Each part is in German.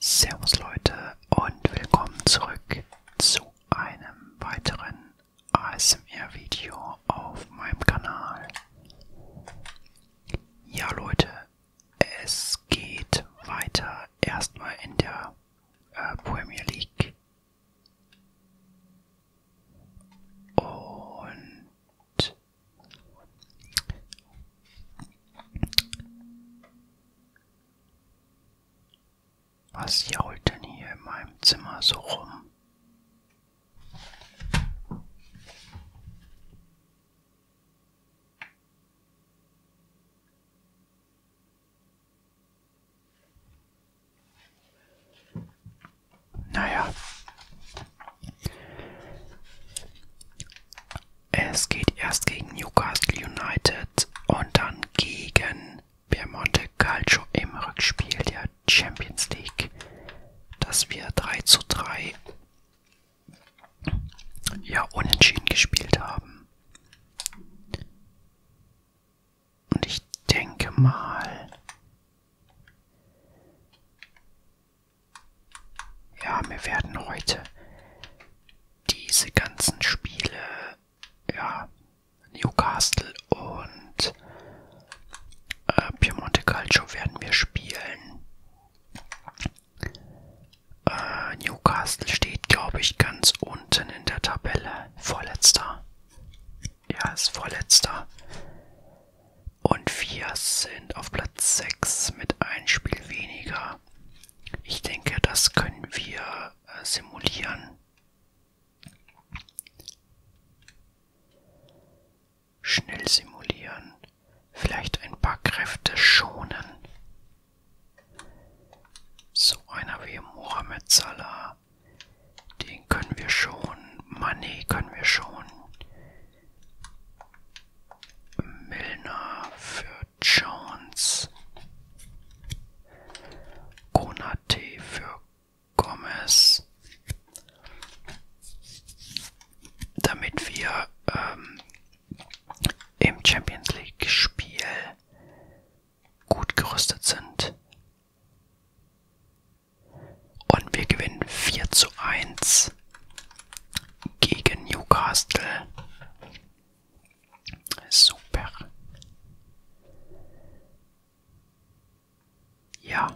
Servus Leute und willkommen zurück zu einem weiteren ASMR-Video auf meinem Kanal. Ja Leute, es geht weiter erstmal in der äh, Premier League. Und was jault denn hier in meinem Zimmer so rum? Naja. Es geht erst gegen Newcastle United und dann gegen Piemonte Calcio im Rückspiel der Champions League. Dass wir 3 zu 3 ja unentschieden gespielt haben. Und ich denke mal. Ja, wir werden heute diese ganzen Spiele, ja, Newcastle und äh, Piemonte Calcio werden wir spielen. Äh, Newcastle steht, glaube ich, ganz unten in der Tabelle. Vorletzter. Ja, ist vorletzter. Und wir sind auf Platz 6 mit einem Spiel weniger. Ich denke, das können wir äh, simulieren. Schnell simulieren. Vielleicht ein paar Kräfte schonen. So einer wie Mohamed Salah. Den können wir schon. Money können wir schon. Milner für Jones. Konate für Gomez. Damit wir ähm, im Champions League-Spiel gut gerüstet sind. Und wir gewinnen 4 zu 1 gegen Newcastle. Super. Ja.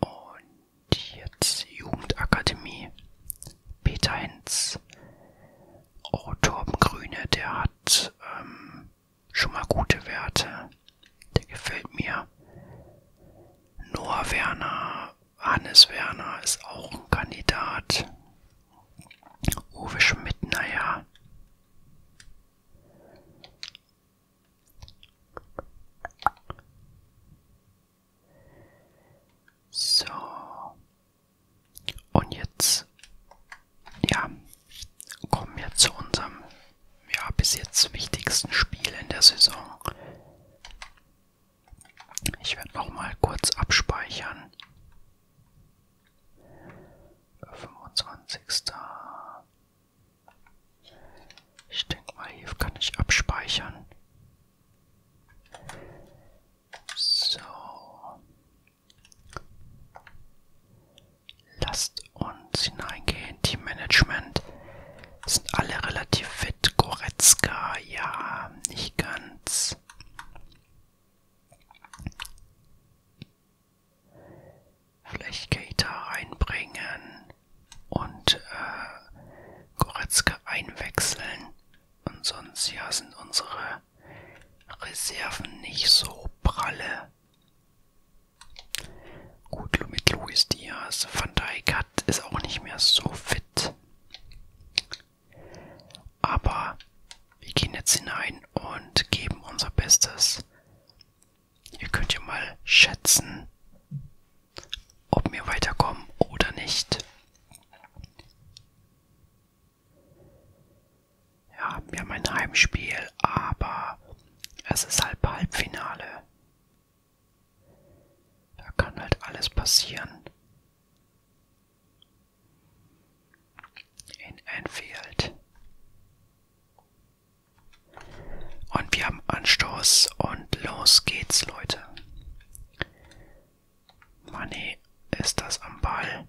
Und jetzt Jugendakademie. Peter Hens. Oh, Torben Grüne, der hat ähm, schon mal gute Werte. Der gefällt mir. Noah Werner Hannes Werner ist auch ein Kandidat. Uwe Schmidt, naja. So. Und jetzt, ja, kommen wir zu unserem, ja, bis jetzt wichtigsten Spiel in der Saison. Ich werde noch mal kurz abspeichern. 25. Ich denke mal, hier kann ich abspeichern. So. Lasst uns hineingehen, Teammanagement. Sind alle relativ fit. Goretzka, ja, nicht ganz. Vielleicht Keita reinbringen und äh, Goretzka einwechseln. Und sonst ja sind unsere Reserven nicht so pralle. Gut, mit Luis Diaz. Van Dijk hat, ist auch nicht mehr so fit. Aber wir gehen jetzt hinein und geben unser Bestes. Ihr könnt ja mal schätzen, ob wir weiterkommen oder nicht. Ja, wir haben ein Heimspiel, aber es ist halb Halbfinale. Da kann halt alles passieren. In Enfield. Und wir haben Anstoß und los geht's, Leute. Money ist das am Ball.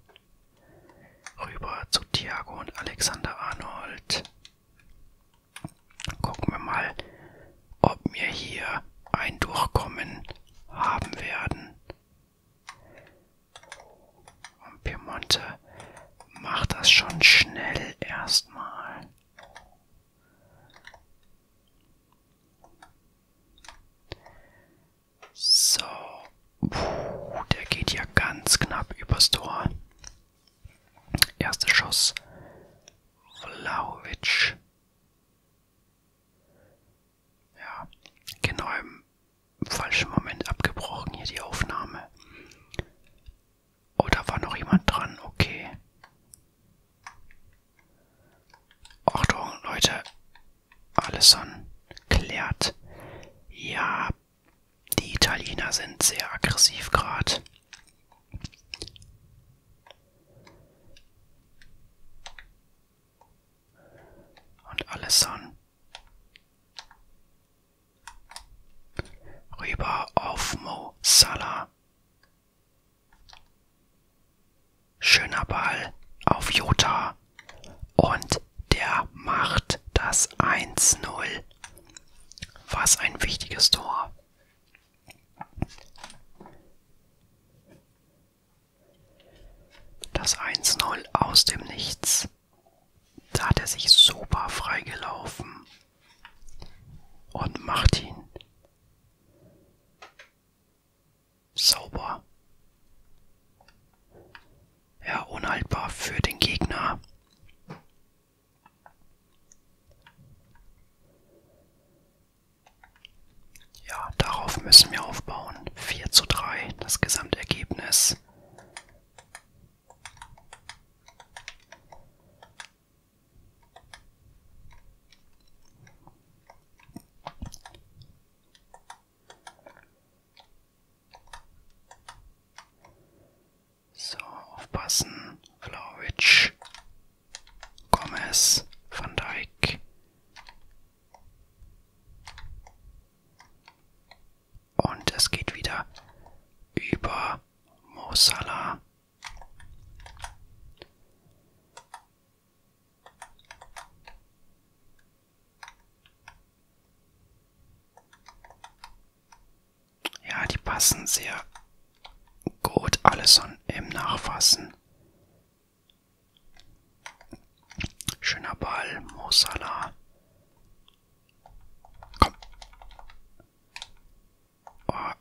Rüber zu Thiago und Alexander Arnold. Gucken wir mal, ob wir hier ein Durchkommen haben werden. Und Piemonte macht das schon schnell erstmal. So, Puh, der geht ja ganz knapp übers Tor. Erster Schuss. Vlaovic. Ja, genau im falschen Moment abgebrochen hier die Aufnahme. Oh, da war noch jemand dran, okay. Achtung, Leute. Allison klärt. Ja, die Italiener sind sehr aggressiv gerade. Und alles an. Rüber auf Mo Salah. Schöner Ball auf Jota. Und der macht das 1-0. Was ein wichtiges Tor. Das 1-0 aus dem Nichts. Da hat er sich super freigelaufen und macht ihn. Sauber. Ja, unhaltbar für den Gegner. Ja, darauf müssen wir aufbauen. 4 zu 3, das Gesamtergebnis. So, aufpassen. Flowitch. Gomez, Van Dijk und es geht wieder über Mo Salah. Ja, die passen sehr gut. Allison im Nachfassen. Schöner Ball, Mosala. Komm. Oh.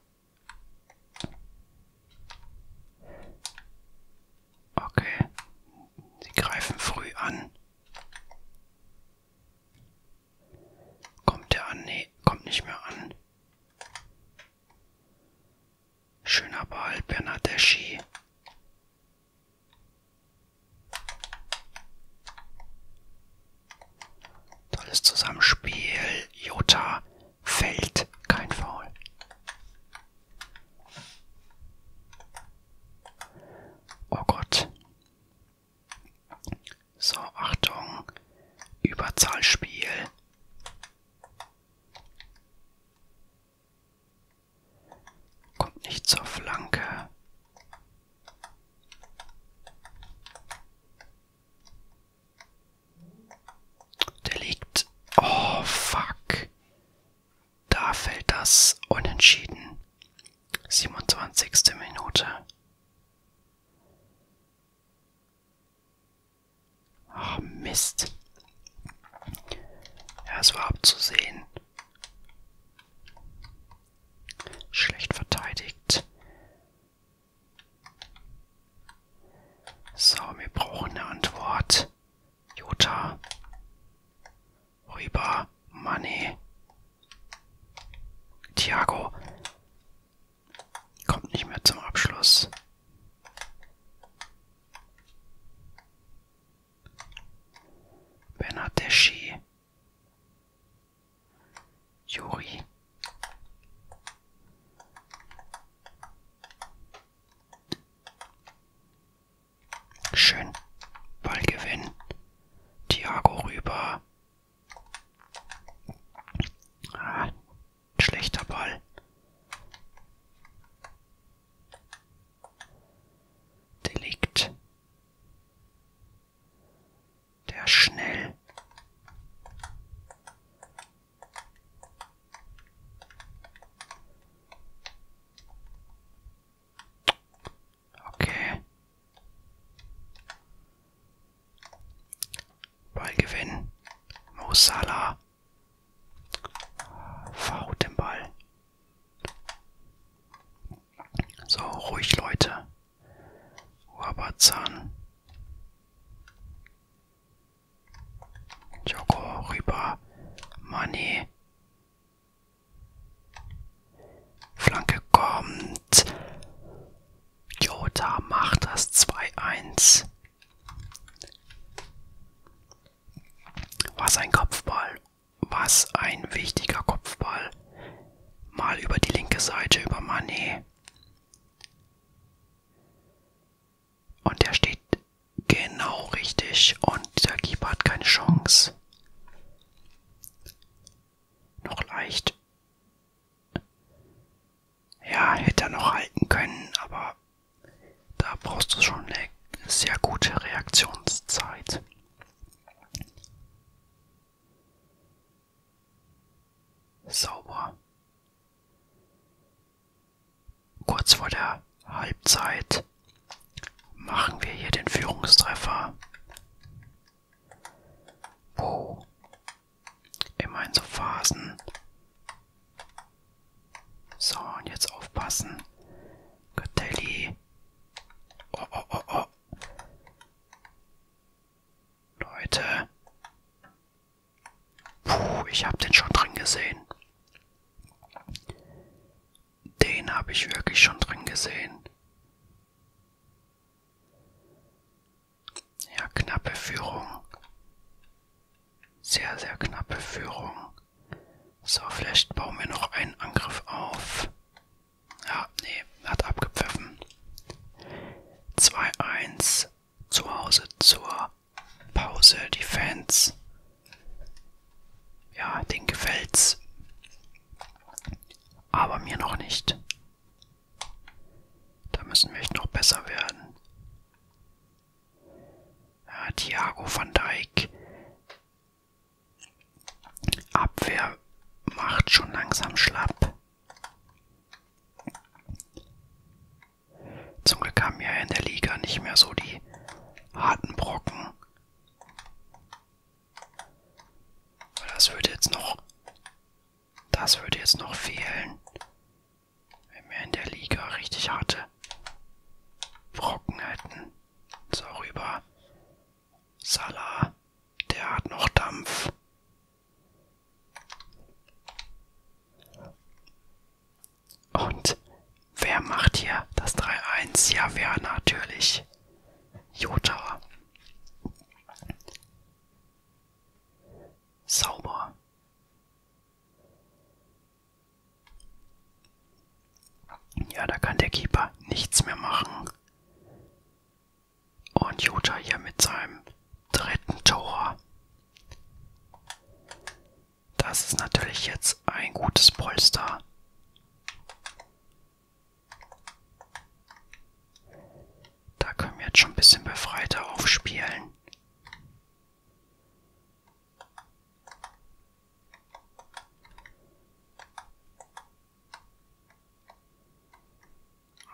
Okay, sie greifen früh an. Kommt der an? Nee, kommt nicht mehr an. Schöner Ball, Bernadeschi. Tolles Zusammenspiel. Jota fällt. Kein Foul. Oh Gott. So, Achtung. Überzahlspiel. Kommt nicht zur Flanke. Der liegt. Oh, fuck. Da fällt das unentschieden. 27. Minute. Ach, Mist. Ja, es war abzusehen. Schlecht verteidigt. So, wir brauchen eine Antwort. Jota. Rüber. Money. Thiago. Kommt nicht mehr zum Abschluss. Bernardeschi. Juri. Schön. Ballgewinn. Thiago rüber. Ah, Schlechter Ball. Delikt. Der schnell. Okay. Ballgewinn. Mo Salah. Gegner. Verhaut den Ball. So, ruhig Leute. Wabazan. Joko rüber. Money. Flanke kommt. Jota macht das 2-1. Was ein Kopfball. Was ein wichtiger Kopfball. Mal über die linke Seite, über Manet. Und der steht genau richtig und der Keeper hat keine Chance. Noch leicht. Ja, hätte er noch halten können, aber da brauchst du schon eine sehr gute Reaktionszeit. Sauber. Kurz vor der Halbzeit machen wir hier den Führungstreffer. Wo immerhin so Phasen so, und jetzt aufpassen. Göttelli. Oh, oh, oh, oh. Leute. Puh, ich habe den schon drin gesehen. Den habe ich wirklich schon drin gesehen. Ja, knappe Führung. Sehr, sehr knappe Führung. So, vielleicht bauen wir noch einen Angriff auf. Ja, nee, hat abgepfiffen. 2-1 zu Hause zur Pause, die Fans. Ja, den gefällt's. Aber mir noch nicht. Da müssen wir echt noch besser werden. Ja, Thiago van Dijk. Abwehr macht schon langsam schlapp. Zum Glück haben wir in der Liga nicht mehr so die harten Brocken. Das würde jetzt noch. Das würde jetzt noch fehlen. Wenn wir in der Liga richtig harte Brocken hätten. So rüber. Salah. Der hat noch Dampf. Und wer macht hier das 3-1? Ja, wer natürlich? Jota. Sauber. Ja, da kann der Keeper nichts mehr machen. Und Jota hier mit seinem dritten Tor. Das ist natürlich jetzt ein gutes Polster. Da können wir jetzt schon ein bisschen befreiter aufspielen.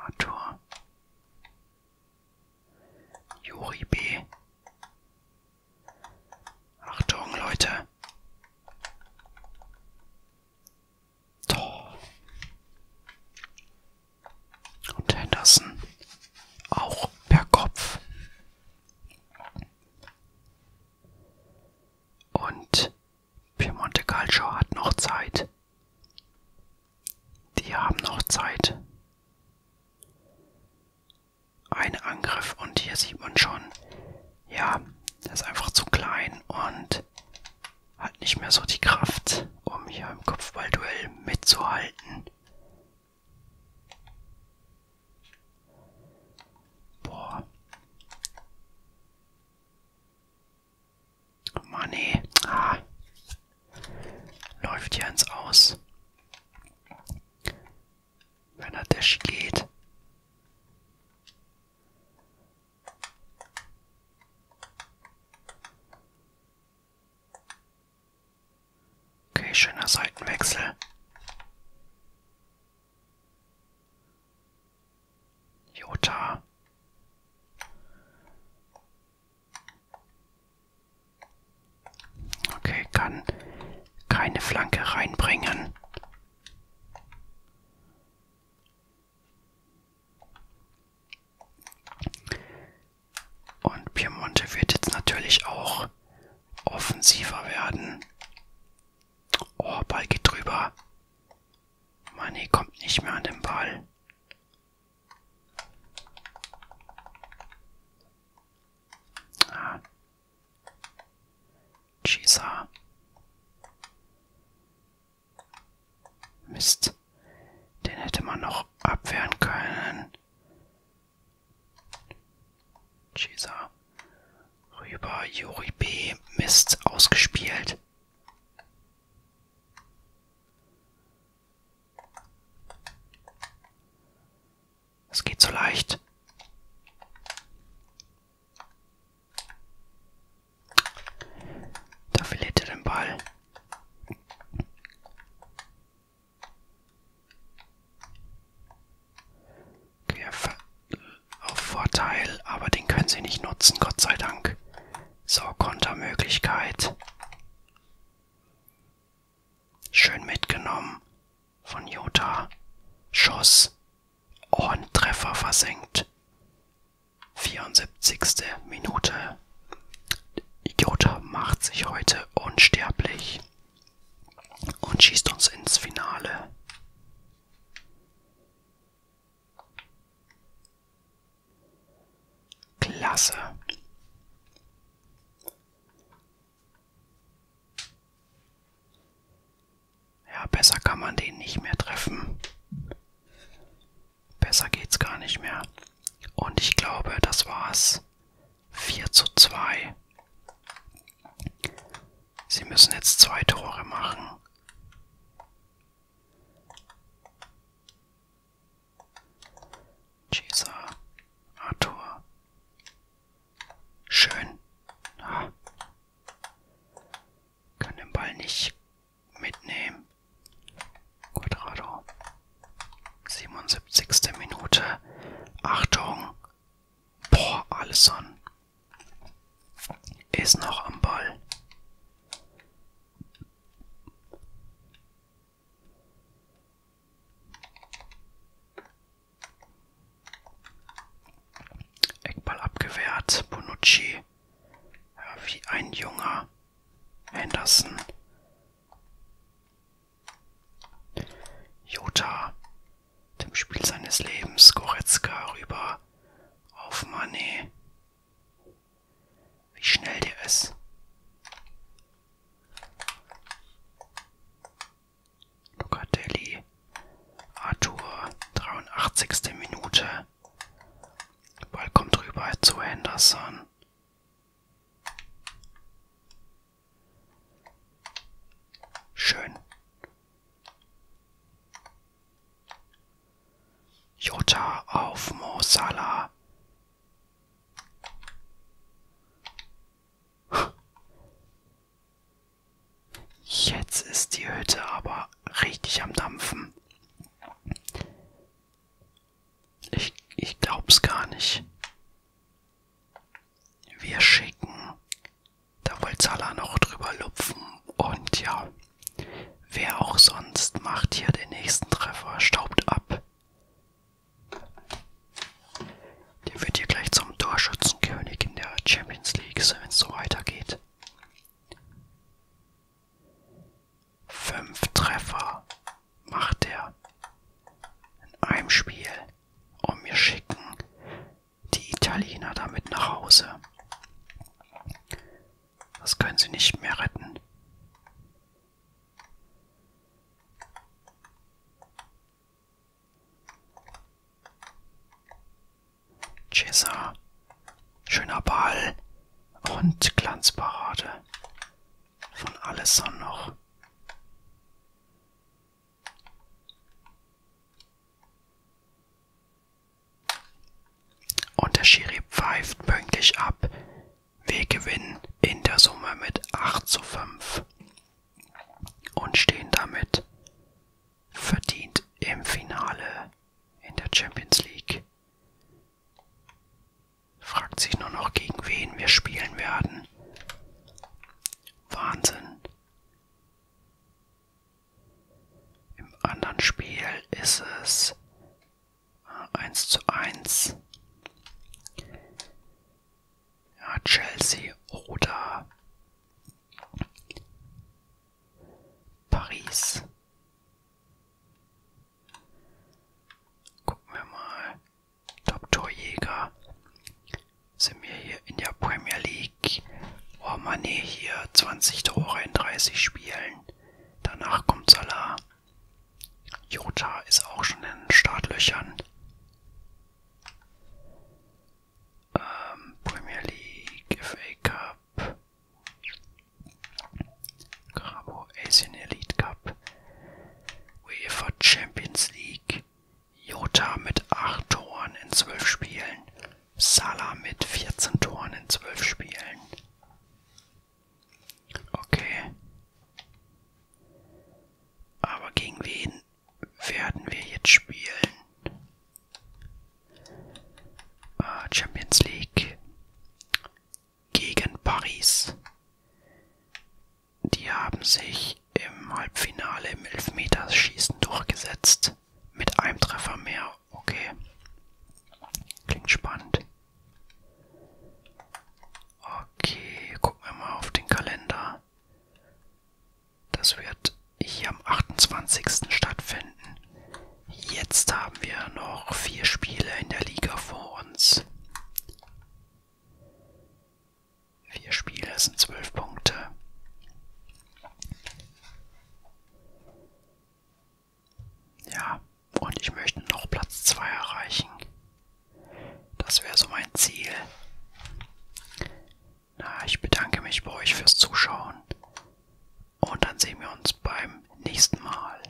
Arthur. Juri B. Achtung, Leute. Tor. Und Henderson. Auch per Kopf. Und Piemonte Calcio hat noch Zeit. Die haben noch Zeit. Ein Angriff und hier sieht man schon, ja, das ist einfach zu klein und hat nicht mehr so die Kraft, um hier im Kopfballduell mitzuhalten. Boah. Oh Mann, ey. Ah. Läuft hier ins Aus. Wenn er Dash geht. Okay, schöner Seitenwechsel. Jota. Okay, kann keine Flanke reinbringen. Und Piemonte wird jetzt natürlich auch noch offensiver werden. Oh, Ball geht drüber. Mané kommt nicht mehr an den Ball. Ah. Chisa. Mist. Den hätte man noch abwehren können. Chisa. Rüber. Juri B. Mist. Ausgespielt. Es geht so leicht. Da verliert er den Ball. Querfall auf Vorteil, aber den können sie nicht nutzen, Gott sei Dank. So, Kontermöglichkeit. Schön mitgenommen von Jota. Schuss. Und Treffer versenkt. 74. Minute. Jota macht sich heute unsterblich und schießt uns ins Finale. Klasse. Ja, besser kann man den nicht mehr treffen. Besser geht's gar nicht mehr. Und ich glaube, das war's 4 zu 2. Sie müssen jetzt zwei Tore machen. Cesar, Arthur. Schön. Ah. Kann den Ball nicht mitnehmen. Quadrado. 77. Minute. Achtung. Boah, Alisson ist noch am Ball. Eckball abgewehrt. Bonucci. Ja, wie ein junger Henderson. Jota, dem Spiel seines Lebens, Goretzka rüber auf Mané. Wie schnell der ist. Locatelli, Arthur, 83. Minute. Ball kommt rüber zu Henderson. Schön. Jota auf Mo Salah. Jetzt ist die Hütte aber richtig am Dampfen. Ich, ich glaub's gar nicht. Wir schicken. Da will Zala noch drüber lupfen. Und ja, wer auch sonst macht hier den nächsten Treffer, staubt ab. Der wird hier gleich zum Torschützenkönig in der Champions League, wenn es so weitergeht. Fünf Treffer macht er in einem Spiel und mir schicken die Italiener damit nach Hause. Das können sie nicht mehr retten. Cesar, schöner Ball und Glanzparade von Alessandro. Und der Schiri pfeift pünktlich ab. Wir gewinnen in der Summe mit 8 zu 5 und stehen damit verdient im Finale in der Champions League. Fragt sich nur noch, gegen wen wir spielen werden. Wahnsinn. Im anderen Spiel ist es äh, eins zu eins. Ja, Chelsea oder Paris. Gucken wir mal. Dr. Jäger sind wir hier in der Premier League. Oh Mane hier 20 Tore in 30 Spielen. Danach kommt Salah. Jota ist auch schon in den Startlöchern. Ähm, Premier League, FA Cup, Grabo Asian Elite Cup, UEFA Champions League. Jota mit 8 Toren in 12 Spielen, Salah mit 14 Toren in 12 Spielen. Okay. Aber gegen wen werden wir jetzt spielen? Ah, Champions League gegen Paris. Die haben sich im Halbfinale im Elfmeterschießen durchgesetzt. Mit einem Treffer mehr. Okay. Klingt spannend. Okay, gucken wir mal auf den Kalender. Das wird hier am 28. stattfinden. Jetzt haben wir noch vier Spiele in der Liga vor uns. Vier Spiele sind zwölf Punkte. Ja, und ich möchte noch Platz 2 erreichen. Das wäre so mein Ziel. Na, ich bedanke mich bei euch fürs Zuschauen. Und dann sehen wir uns beim nächsten Mal.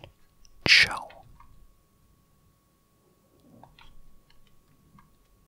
Ciao.